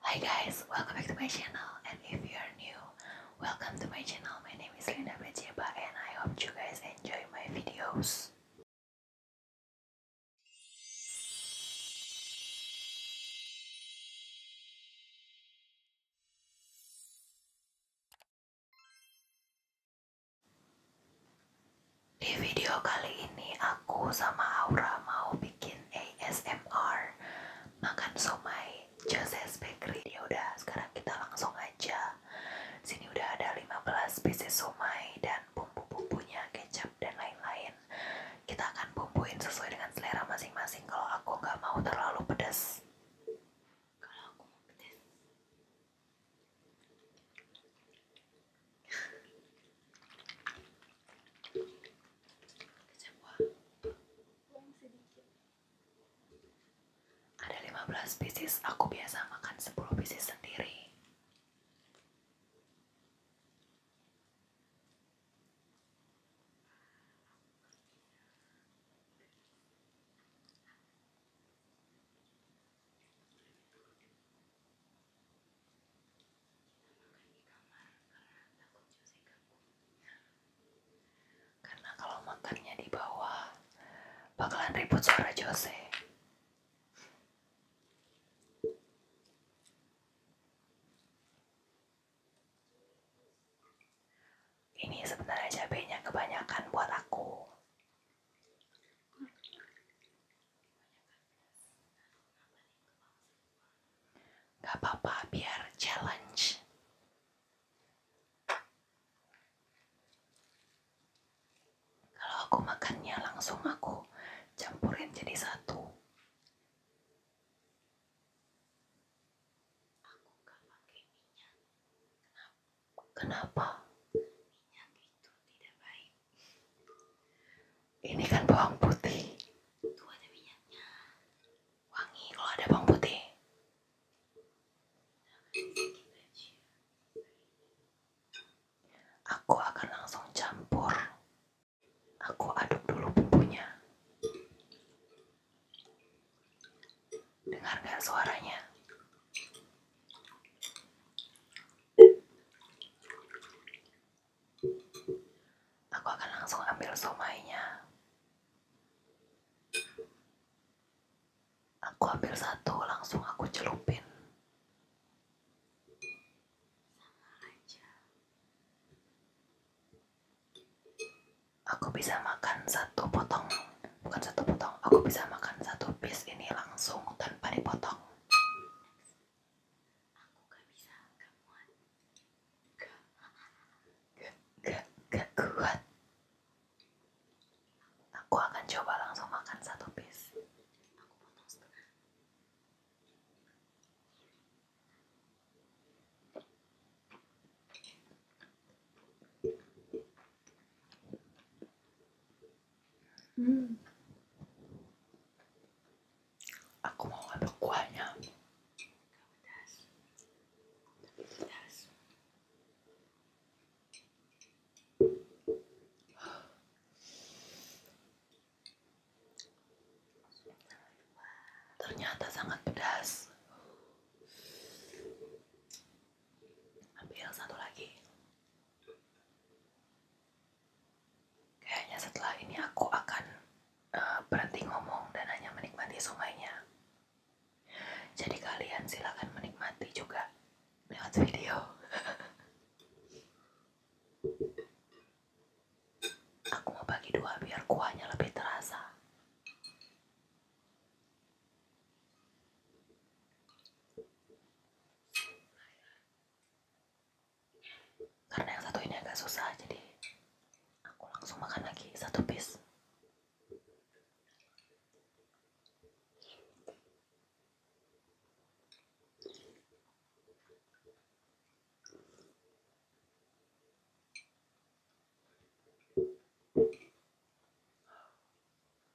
Hi guys, welcome back to my channel and if you are new, welcome to my channel. My name is Linda Bajeba and I hope you guys enjoy my videos. Di video kali ini aku sama Aura mau bikin bikin ASMR makan somai Joses Bakery. Ya udah, sekarang kita langsung aja. Sini udah ada 15 pieces somai dan bumbu-bumbunya, kecap dan lain-lain. Kita akan bumbuin sesuai dengan selera masing-masing. Kalau aku nggak mau terlalu pedas. Kalau aku mau pedas. Kecap buah. Ada 15 pieces, aku biasa makan 10 pieces sendiri karena kalau makannya di bawah bakalan ribut suara Jose. Ini sebenarnya cabenya kebanyakan buat aku. Gak apa-apa, biar challenge. Kalau aku makannya langsung aku campurin jadi satu. Kenapa? itu tidak baik ini kan bawang putih. Tuh ada minyaknya. Wangi kalau ada bawang putih. Aku akan langsung campur. Aku aduk dulu bumbunya. Dengar nggak suaranya? Aku akan langsung ambil somainya. Aku ambil satu, langsung aku celupin. Aku bisa makan satu potong, bukan satu potong. Aku bisa makan satu piece ini langsung tanpa dipotong aku gak bisa gak muat gak gak gak kuat aku akan coba langsung makan satu piece Hmm. Aku mau ambil kuahnya. Ternyata sangat pedas. Ambil satu lagi. Kayaknya setelah ini aku akan uh, berhenti ngomong dan hanya menikmati sungainya. Jadi kalian silahkan menikmati juga lewat video. aku mau bagi dua biar kuahnya lebih terasa karena yang satu ini agak susah jadi aku langsung makan lagi satu piece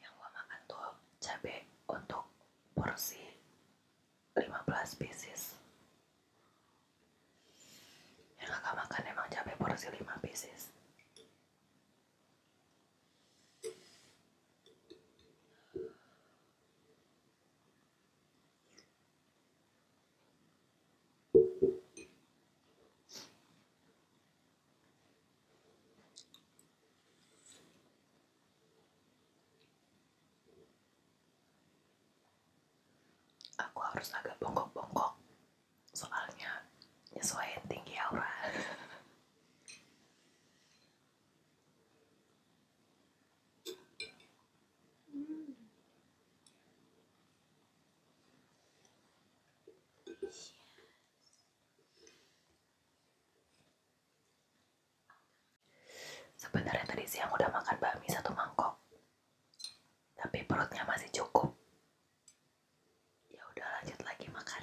yang gue makan tuh cabai untuk porsi 15 pieces yang kakak makan emang cabai porsi 5 pieces Aku harus agak bongkok-bongkok, soalnya nyesuaiin tinggi aura. Sebenarnya tadi siang udah makan bakmi satu mangkok, tapi perutnya masih cukup. Ya udah lanjut lagi makan.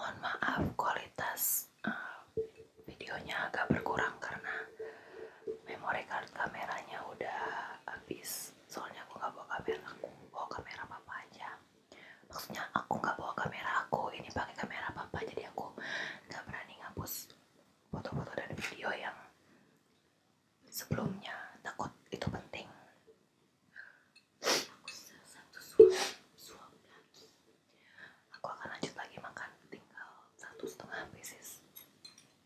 Mohon maaf kualitas uh, videonya agak berkurang karena memori kartu kameranya udah habis soalnya aku nggak bawa kamera aku bawa kamera papa aja maksudnya aku nggak bawa kamera aku ini pakai kamera papa jadi aku nggak berani ngapus foto-foto dan video yang sebelumnya takut itu penting aku satu suap lagi aku akan lanjut lagi makan tinggal satu setengah pieces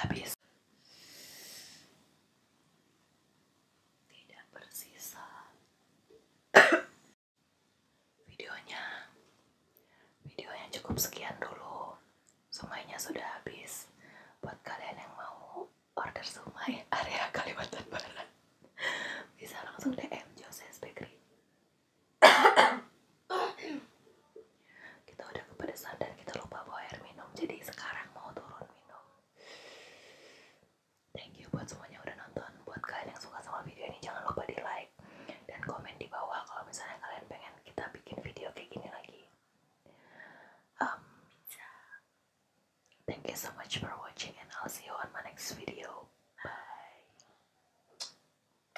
habis tidak bersisa videonya videonya cukup sekian dulu sumainya sudah habis buat kalian yang mau order sumai area Kalimantan Barat bisa langsung DM Joseph Bakery kita udah kepedesan dan kita lupa bawa air minum jadi sekarang mau turun minum thank you buat semuanya udah nonton buat kalian yang suka sama video ini jangan lupa di like dan komen di bawah kalau misalnya kalian pengen kita bikin video kayak gini lagi um, thank you so much for watching and I'll see you on my next video bye